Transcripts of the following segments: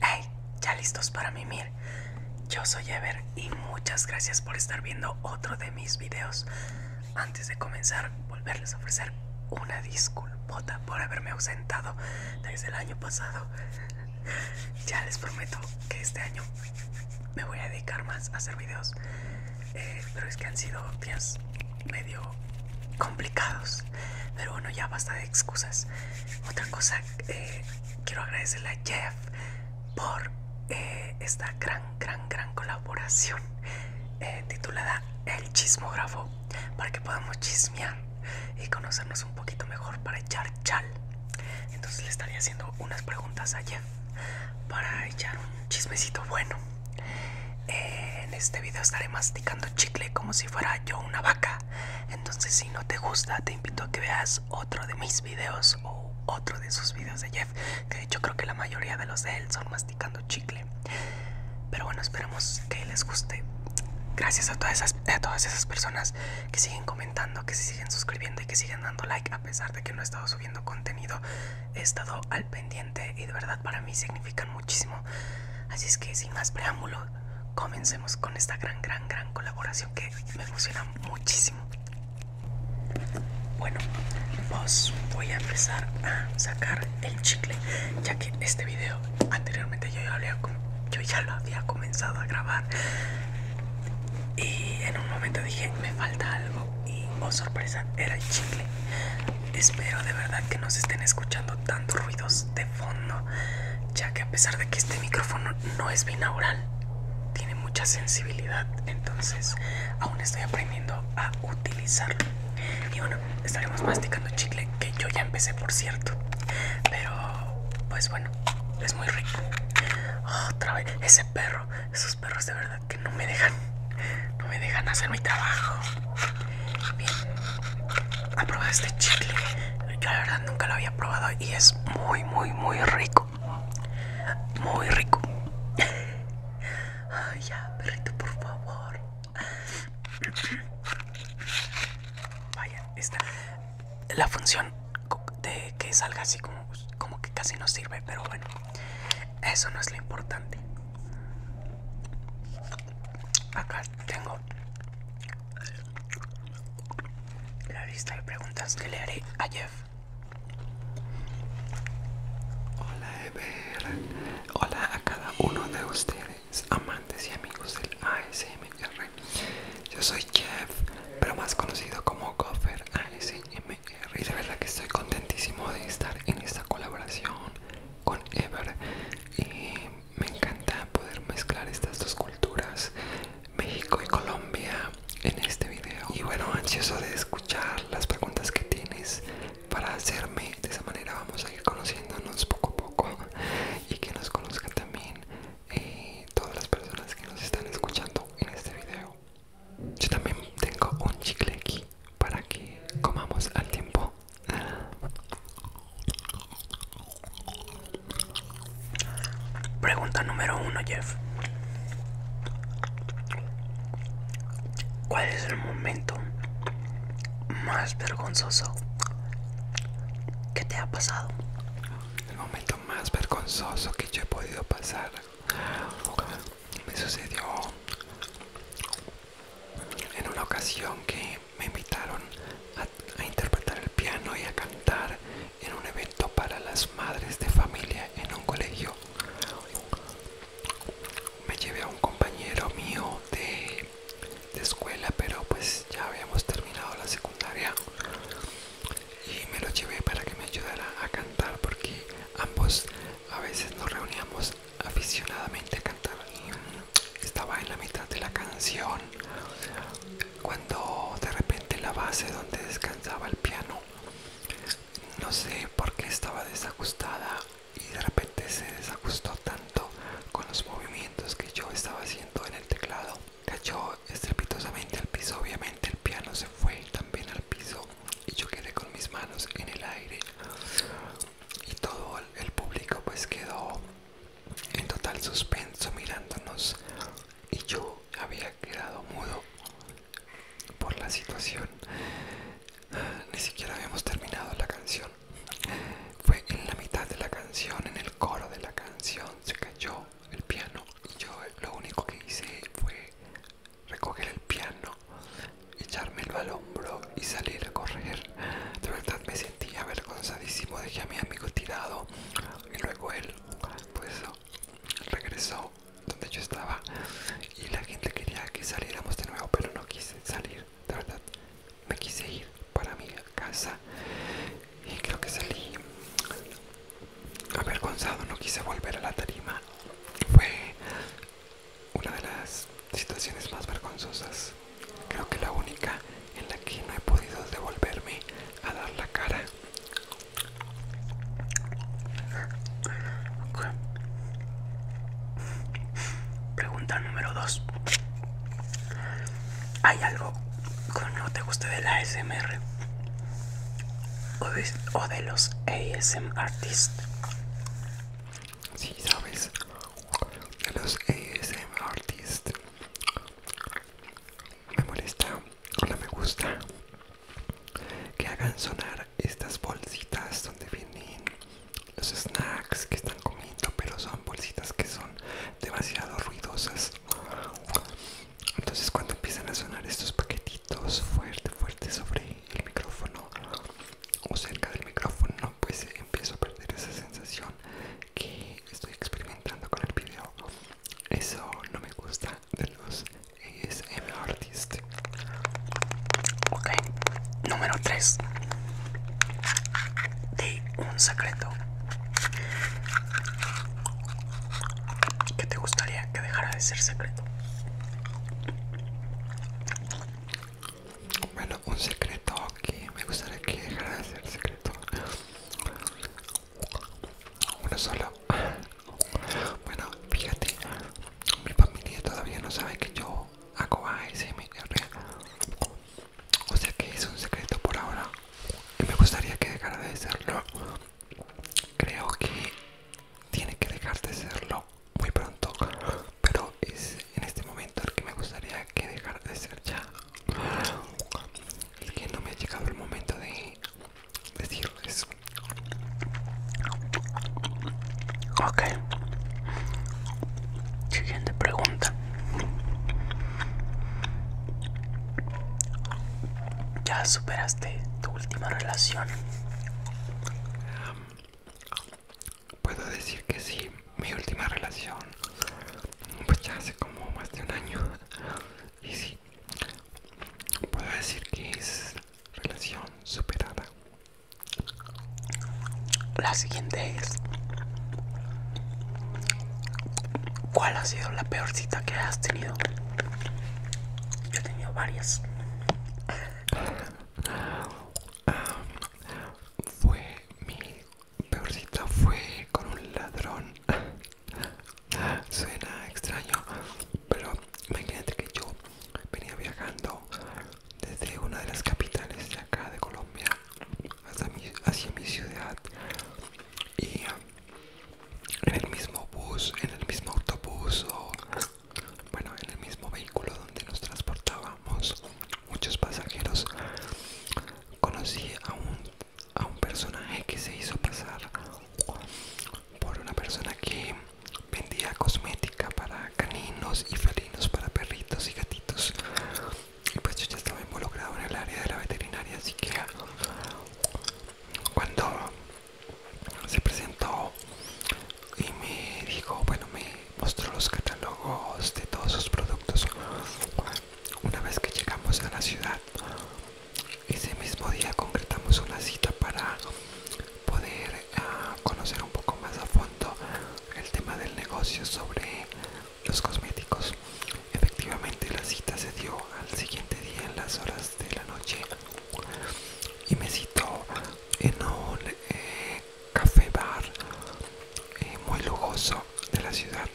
Hey, ya listos para mimir. Yo soy Ever y muchas gracias por estar viendo otro de mis videos. Antes de comenzar, volverles a ofrecer una disculpota por haberme ausentado desde el año pasado. Ya les prometo que este año me voy a dedicar más a hacer videos. Eh, pero es que han sido días medio complicados. Pero bueno, ya basta de excusas. Otra cosa, eh, quiero agradecerle a Jeff por eh, esta gran, gran, gran colaboración eh, titulada El chismógrafo, para que podamos chismear y conocernos un poquito mejor para echar chal. Entonces le estaría haciendo unas preguntas a Jeff para echar un chismecito bueno. en este video estaré masticando chicle como si fuera yo una vaca. Entonces si no te gusta te invito a que veas otro de mis videos o otro de sus videos de Jeff, que de hecho creo que la mayoría de los de él son masticando chicle. Pero bueno, esperamos que les guste. Gracias a todas esas, a todas esas personas que siguen comentando, que se siguen suscribiendo y que siguen dando like a pesar de que no he estado subiendo contenido. He estado al pendiente y de verdad para mí significan muchísimo. Así es que sin más preámbulos comencemos con esta gran, gran, gran colaboración que me emociona muchísimo. Bueno, vos voy a empezar a sacar el chicle, ya que este video anteriormente yo ya, lo había comenzado a grabar y en un momento dije me falta algo y oh sorpresa era el chicle. Espero de verdad que nos estén escuchando dando ruidos de fondo, ya que a pesar de que este micrófono no es binaural, tiene mucha sensibilidad, entonces aún estoy aprendiendo a utilizarlo. Y bueno, estaremos masticando chicle, que yo ya empecé por cierto, pero pues bueno, es muy rico. Otra vez, ese perro, esos perros de verdad que no me dejan, no me dejan hacer mi trabajo. ¿Ha este chicle? Yo la verdad nunca lo había probado y es muy, muy, muy rico. Muy rico. Ay, ya, perrito, por favor. Vaya, esta. La función de que salga así como, como que casi no sirve, pero bueno, eso no es lo importante. Acá tengo la lista de preguntas que le haré a Jeff. Hola Ever, hola a cada uno de ustedes, amantes y amigos del ASMR. Yo soy Jeff, pero más conocido como Gopher ASMR. Y de verdad que estoy contentísimo de estar en esta colaboración con Ever. Y me encanta poder mezclar estas dos culturas, México y Colombia, en este video. Y bueno, ansioso de escuchar las preguntas que tienes para hacerme. De esa manera vamos a ir conociéndonos poco a poco y que nos conozcan también eh, todas las personas que nos están escuchando en este video. Yo también tengo un chicle aquí para que comamos al tiempo. Pregunta número uno, Jeff. ¿Cuál es el momento más vergonzoso que te ha pasado? El momento más vergonzoso que yo he podido pasar me sucedió en una ocasión que me invitaron a, interpretar el piano y a cantar en un evento para las madres de familia en un colegio. Me llevé a un compañero mío de, escuela, pero pues ya habíamos terminado la secundaria y me lo llevé para que me ayudara a cantar porque ambos a veces nos reuníamos aficionadamente a cantar estaba en la mitad de la canción cuando de repente la base donde descansaba el piano no sé por qué estaba desajustada y de repente se desajustó tanto con los movimientos que yo estaba haciendo en el teclado cayó estrepitosamente al piso obviamente el piano se fue también al piso y yo quedé con mis manos en el aire y todo el público pues quedó en total suspenso mirándonos y yo había quedado mudo por la situación. Ni siquiera habíamos terminado la canción. Fue en la mitad de la canción, en el coro de la canción, se cayó el piano y yo lo único que hice fue recoger el piano, Echarme el hombro y salir a correr. De verdad me sentía avergonzadísimo, dejé a mi amigo tirado y luego él pues regresó donde yo estaba y la gente quería que saliéramos de nuevo pero no quise salir de verdad me quise ir para mi casa y creo que salí avergonzado no quise volver a la tarima fue una de las situaciones más vergonzosas Creo que la única en la que no he podido devolverme a dar la cara. Pregunta número 2. ¿Hay algo que no te guste de la ASMR? ¿O de, los ASM artists? Sí, sabes, de los ASM artists me molesta no me gusta que hagan sonar estas bolsitas donde vienen los snacks que están comiendo pero son bolsitas que son demasiado ruidosas entonces cuando empiezan a sonar estos paquetitos fuerte fuerte sobre el micrófono o cerca del micrófono pues empiezo a perder esa sensación que estoy experimentando con el video eso no me gusta de los ESM artists ok número 3 de un secreto que te gustaría que dejara de ser secreto bueno, un secreto que me gustaría que dejara de ser secreto uno solo. Bueno, fíjate, mi familia todavía no sabe que yo hago ASMR. O sea que es un secreto por ahora. Y me gustaría que dejara de serlo. Creo que tiene que dejar de serlo muy pronto. Pero es en este momento el que me gustaría que dejara de ser ya es que no me ha llegado el momento de decirles ok siguiente pregunta ya superaste tu última relación puedo decir que sí mi última relación pues ya hace como más de un año y sí puedo decir que es relación superada la siguiente es cuál ha sido la peor cita que has tenido yo he tenido varias ah, fue mi peorcita fue con un ladrón. Suena extraño, pero imagínate que yo venía viajando desde una de las capitales de acá de Colombia hasta mi, hacia mi ciudad y um, en el mismo bus, en el mismo autobús o bueno, en el mismo vehículo donde nos transportábamos muchos pasajeros conocí a un a un personaje que se hizo pasar por una persona que vendía cosmética para caninos y felinos, para perritos y gatitos. Y pues yo ya estaba involucrado en el área de la veterinaria, así que cuando se presentó y me dijo, bueno, me mostró los catálogos de todos sus productos una vez que llegamos a la ciudad, ese mismo día concretamos una cita para poder ah, conocer un poco más a fondo el tema del negocio sobre los cosméticos. Efectivamente, la cita se dio al siguiente día en las horas de la noche y me citó en un eh, café bar eh, muy lujoso de la ciudad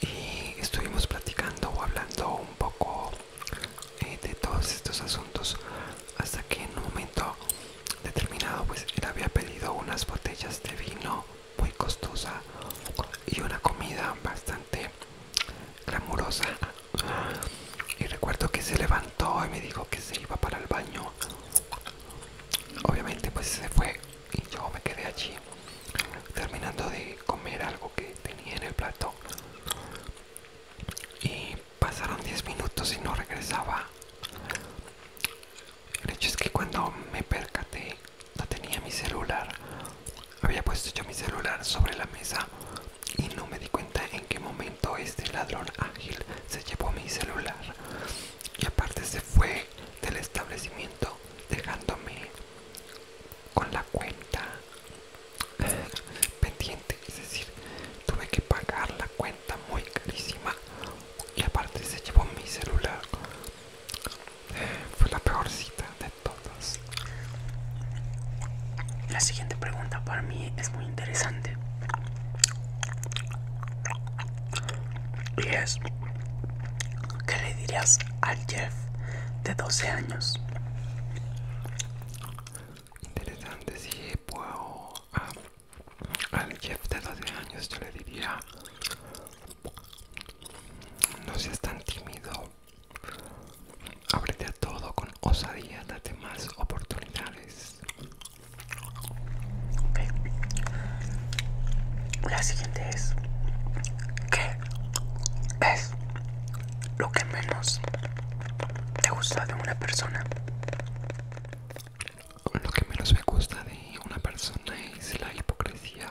y estuvimos platicando o hablando un poco eh, de todos estos asuntos hasta que en un momento determinado pues él había pedido unas botellas de vino muy costosa y una comida bastante glamurosa y recuerdo que se levantó y me dijo que se iba para el baño obviamente pues se fue y yo me quedé allí terminando de comer algo que tenía en el plato y pasaron 10 minutos y no regresaba el hecho es que cuando me percaté no tenía mi celular había puesto yo mi celular sobre la mesa y no me di cuenta en qué momento este ladrón ágil se llevó mi celular y aparte se fue del establecimiento dejándome con la cuenta eh, pendiente es decir tuve que pagar la cuenta muy carísima y aparte se llevó mi celular eh, fue la peor cita de todos la siguiente pregunta para mí es muy interesante y es, ¿qué le dirías al Jeff de 12 años? Interesante, si puedo ah, al Jeff de 12 años yo le diría, no seas tan tímido, ábrete a todo con osadía, date más oportunidades. Ok, La siguiente es, ¿qué es lo que menos te gusta de una persona? Lo que menos me gusta de una persona es la hipocresía.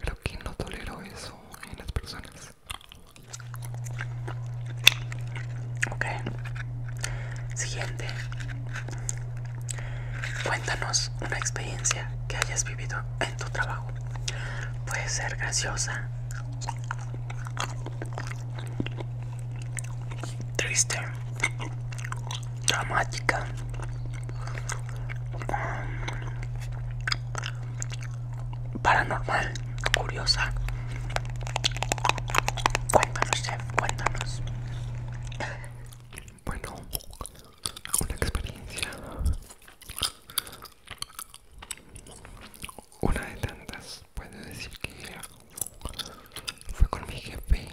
Creo que no tolero eso en las personas. Ok. Siguiente. Cuéntanos una experiencia que hayas vivido en tu trabajo. Puede ser graciosa, triste, dramática, um, paranormal, curiosa. Cuéntanos, chef, cuéntanos bueno una experiencia una de tantas puedo decir que fue con mi jefe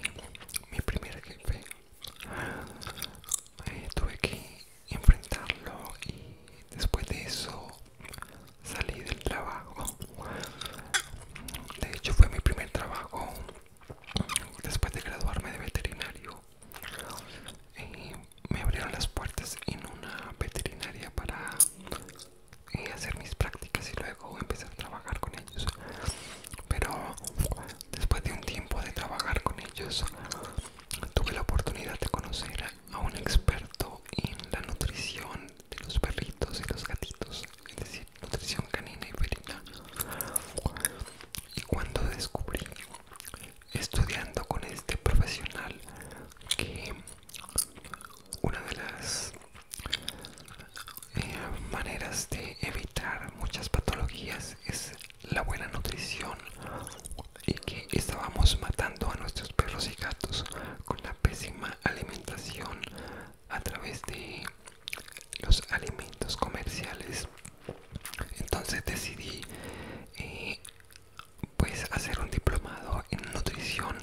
mi primer jefe eh, tuve que enfrentarlo y después de eso salí del trabajo de hecho fue mi primer trabajo después de graduarme de veterinario eh, me abrieron las puertas en una veterinaria para eh, hacer mis prácticas y luego empezar a trabajar con ellos pero después de un tiempo de trabajar con ellos tuve la oportunidad de conocer a un experto en la nutrición de los perritos y los gatitos es decir nutrición canina y felina y cuando descubrí estudiando con este profesional que una de las eh, maneras de evitar muchas patologías es la buena nutrición y que estábamos matando a nuestros perros y gatos con la pésima alimentación a través de los alimentos comerciales entonces decidí eh, pues hacer un diplomado en nutrición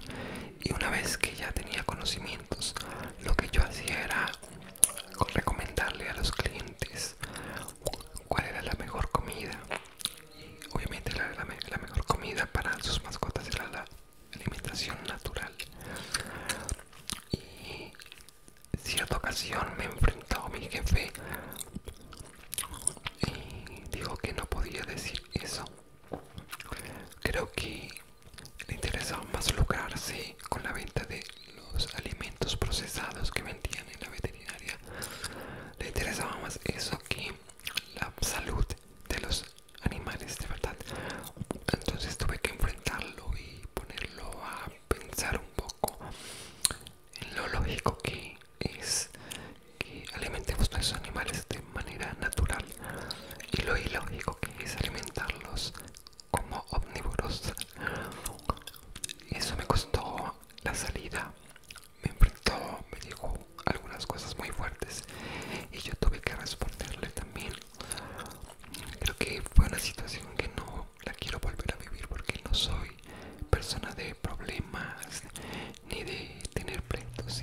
y una vez que ya tenía conocimientos lo que yo hacía era recomendarle a los clientes cuál era la mejor comida obviamente la mejor comida para sus mascotas era la alimentación natural y en cierta ocasión me enfrentó mi jefe y dijo que no podía decir eso. Creo que le interesaba más lucrarse con la venta de los alimentos procesados que vendían en la veterinaria. Le interesaba más eso que la salud de los animales de verdad. Entonces tuve que enfrentarlo y ponerlo a pensar un poco en lo lógico que es que alimentemos a esos animales de manera natural y lo ilógico que es alimentarlos como omnívoros. Eso me costó la salida, me enfrentó, me dijo algunas cosas muy fuertes y yo tuve que responderle también Creo que fue una situación que no la quiero volver a vivir porque no soy persona de problemas ni de tener pleitos.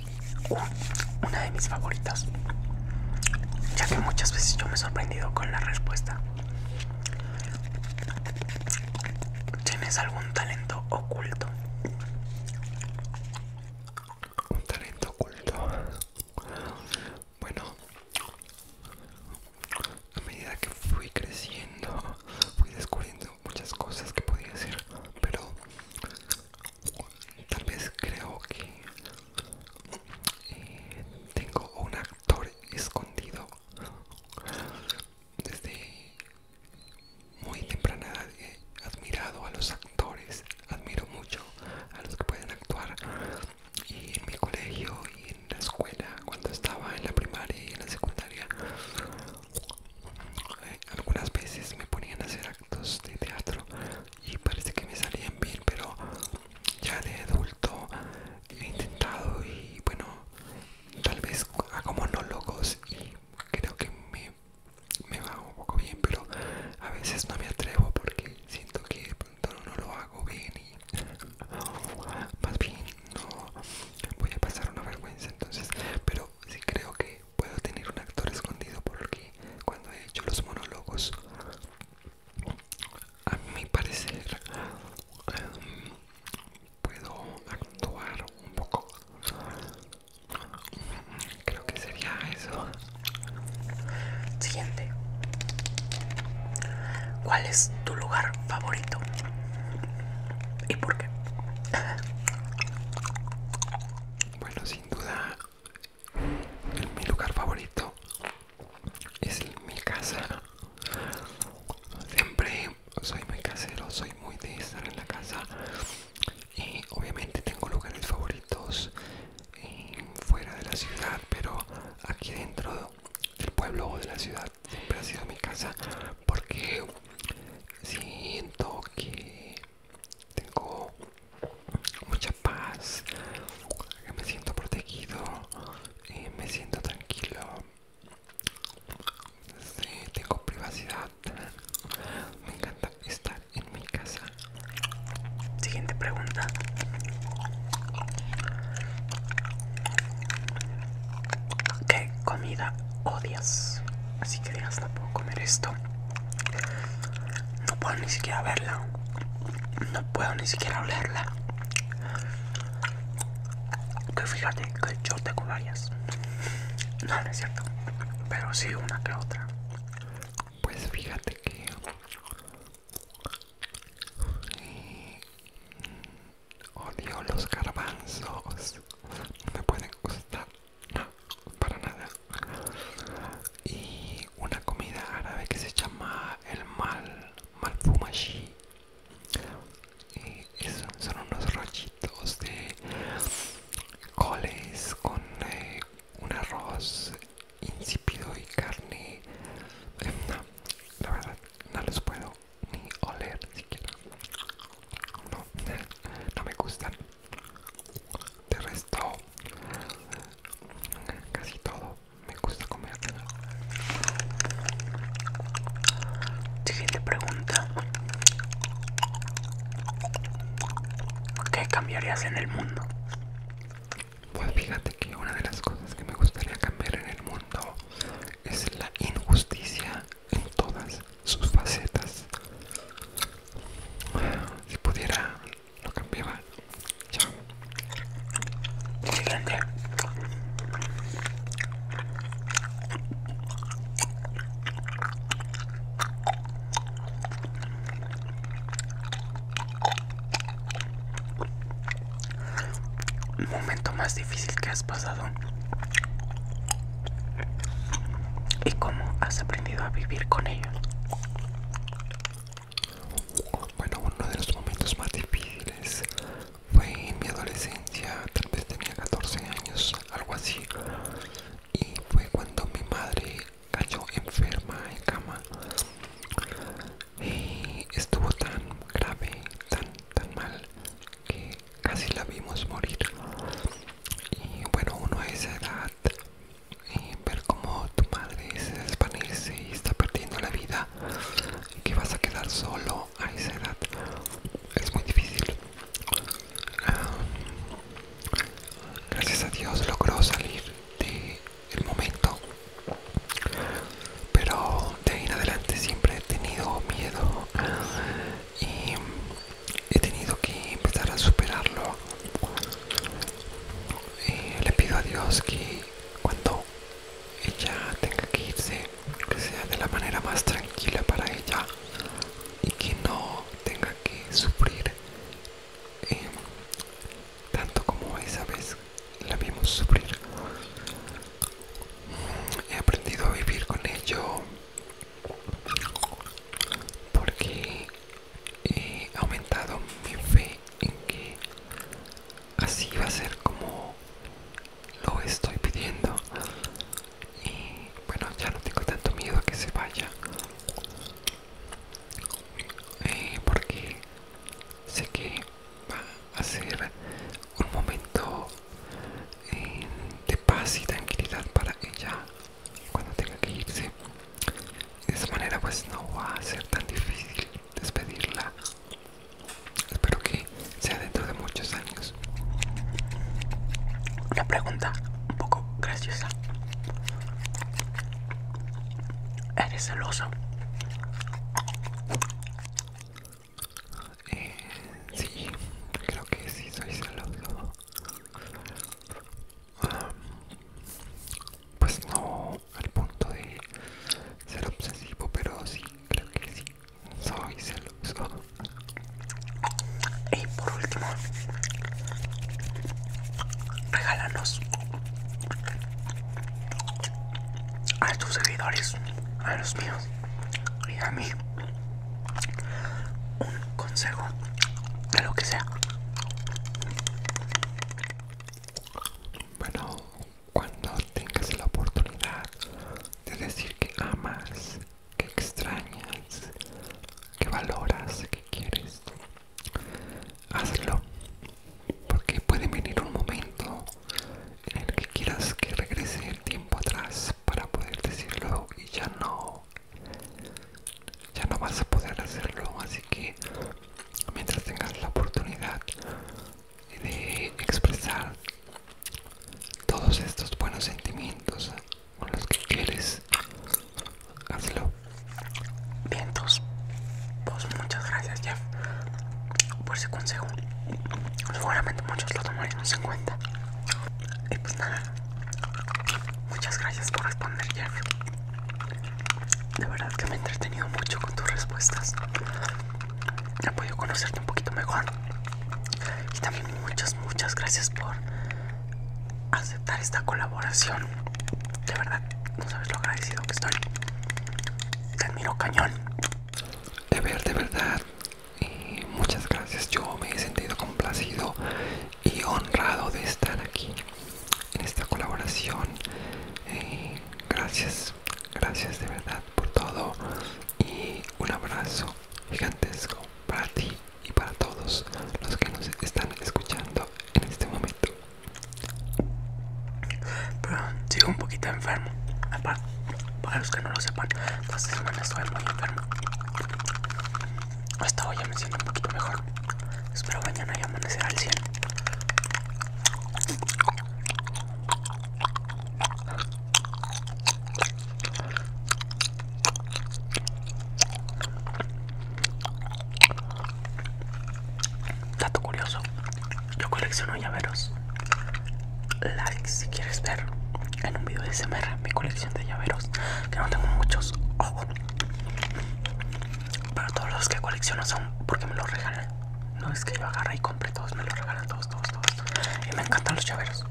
Una de mis favoritas, ya que muchas veces yo me he sorprendido con la respuesta. ¿Tienes algún talento oculto? Un talento oculto. Bueno, a medida que fui creciendo, fui descubriendo muchas cosas que podía hacer, pero tal vez creo que eh, tengo un actor escondido desde muy temprana edad he admirado a los actores admiro mucho a los que pueden actuar y eh, en mi colegio y en la escuela cuando estaba en la primaria y en la secundaria eh, algunas veces me ponían a hacer actos de teatro y parece que me salían bien pero ya de adulto he intentado y bueno tal vez hago monólogos y creo que me, me va un poco bien pero a veces no me atrevo porque siento que no lo hago bien y más bien no voy a pasar una vergüenza entonces pero sí creo que puedo tener un actor escondido porque cuando he hecho los monólogos a mi parecer em, puedo actuar un poco creo que sería eso siguiente ¿Cuál es tu lugar favorito? ¿Y por qué? Bueno, sin duda, mi lugar favorito es mi casa. Siempre soy muy casero, soy muy de estar en la casa. Y obviamente tengo lugares favoritos eh, fuera de la ciudad, pero aquí dentro del pueblo o de la ciudad siempre ha sido mi casa porque siento que tengo mucha paz, que me siento protegido, eh, me siento tranquilo, este, tengo privacidad, me encanta estar en mi casa. Siguiente pregunta, ¿Qué comida odias? Así que digas, hasta puedo comer esto. No puedo ni siquiera verla. No puedo ni siquiera olerla. Que fíjate que yo tengo varias. No, no es cierto. Pero sí una que otra. Pues fíjate que Odio los garbanzos. No me pueden gustar. No, para nada. Y una comida árabe que se llama el mal. Malfumashi. Y eh, son, son unos rollitos de coles con eh, un arroz insípido y carne. la verdad no los puedo ni oler siquiera no, no me gustan de resto casi todo me gusta comer siguiente pregunta ¿qué cambiarías en el mundo? Pues fíjate que una de las cosas que me gustaría cambiar en el mundo es la injusticia en todas sus facetas. Si pudiera, lo cambiaba. Chao momento más difícil que has pasado y cómo has aprendido a vivir con ello. Bueno, uno de los momentos más difíciles fue en mi adolescencia, tal vez tenía 14 años, algo así, y fue cuando mi madre cayó enferma en cama y estuvo tan grave, tan, tan mal que casi la vimos morir. Y bueno, uno a esa edad, eh, ver como tu madre se desvanece y está perdiendo la vida y que vas a quedar solo a esa edad, es muy difícil. Ah, gracias a Dios logró salir de el momento pero de ahí en adelante siempre he tenido miedo y he tenido que empezar a superarlo eh, le pido a Dios que cuando ella tenga que irse que sea de la manera más tranquila para ella y que no tenga que sufrir eh, tanto como esa vez la vimos sufrir. Mm, he aprendido a vivir con ello porque he aumentado mi fe en que así va a ser como lo estoy pidiendo y bueno ya no tengo tanto miedo a que se vaya eh, porque sé que va a ser un momento eh, de paz y tranquilidad para ella cuando tenga que irse. De esa manera pues no va a ser tan difícil despedirla. Espero que sea dentro de muchos años. Una pregunta un poco graciosa. ¿Eres celoso? Eh, sí, creo que sí soy celoso. pues no al punto de ser obsesivo, pero sí, creo que sí, soy celoso. Y por último, regálanos a tus seguidores, a los míos y a mí un consejo de lo que sea. Bueno, cuando tengas la oportunidad de decir que amas, que extrañas, que valoras, que quieres, hazlo porque puede venir un momento en el que quieras que regrese el tiempo atrás para poder decirlo y ya no ya no vas a poder hacerlo así que mientras tengas la oportunidad de expresar todos estos buenos sentimientos con los que quieres hazlo vientos pues muchas gracias, Jeff, por ese consejo. Seguramente muchos lo tomaremos en cuenta. Y pues nada, muchas gracias por responder, Jeff. De verdad que me he entretenido mucho con tus respuestas. He podido conocerte un poquito mejor. Y también muchas, muchas gracias por aceptar esta colaboración. De verdad, no sabes lo agradecido que estoy. Te admiro cañón ver, de verdad, muchas gracias. Yo me he sentido complacido y honrado de estar aquí en esta colaboración. Eh, gracias, gracias de verdad por todo y un abrazo gigantesco para ti y para todos los que nos están escuchando en este momento. Pero sigo un poquito enfermo. para los que no lo sepan, esta semana estoy muy enfermo. Hasta hoy ya me siento un poquito mejor. Espero mañana ya amanecer al 100. Dato curioso, yo colecciono llaveros. Like si quieres ver en un video de SMR mi colección de llaveros, que no tengo muchos. Pero todos los que colecciono son porque me los regalan. No es que yo agarre y compre todos, me los regalan todos, todos, todos. Y me encantan los llaveros.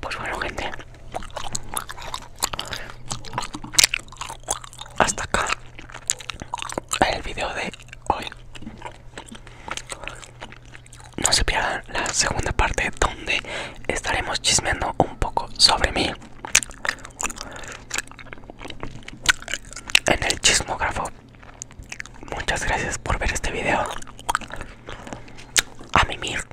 Pues bueno gente, hasta acá el video de hoy. No se pierdan la segunda parte donde estaremos chismeando un poco sobre mí. En el chismógrafo. Muchas gracias por ver este video. A mimir.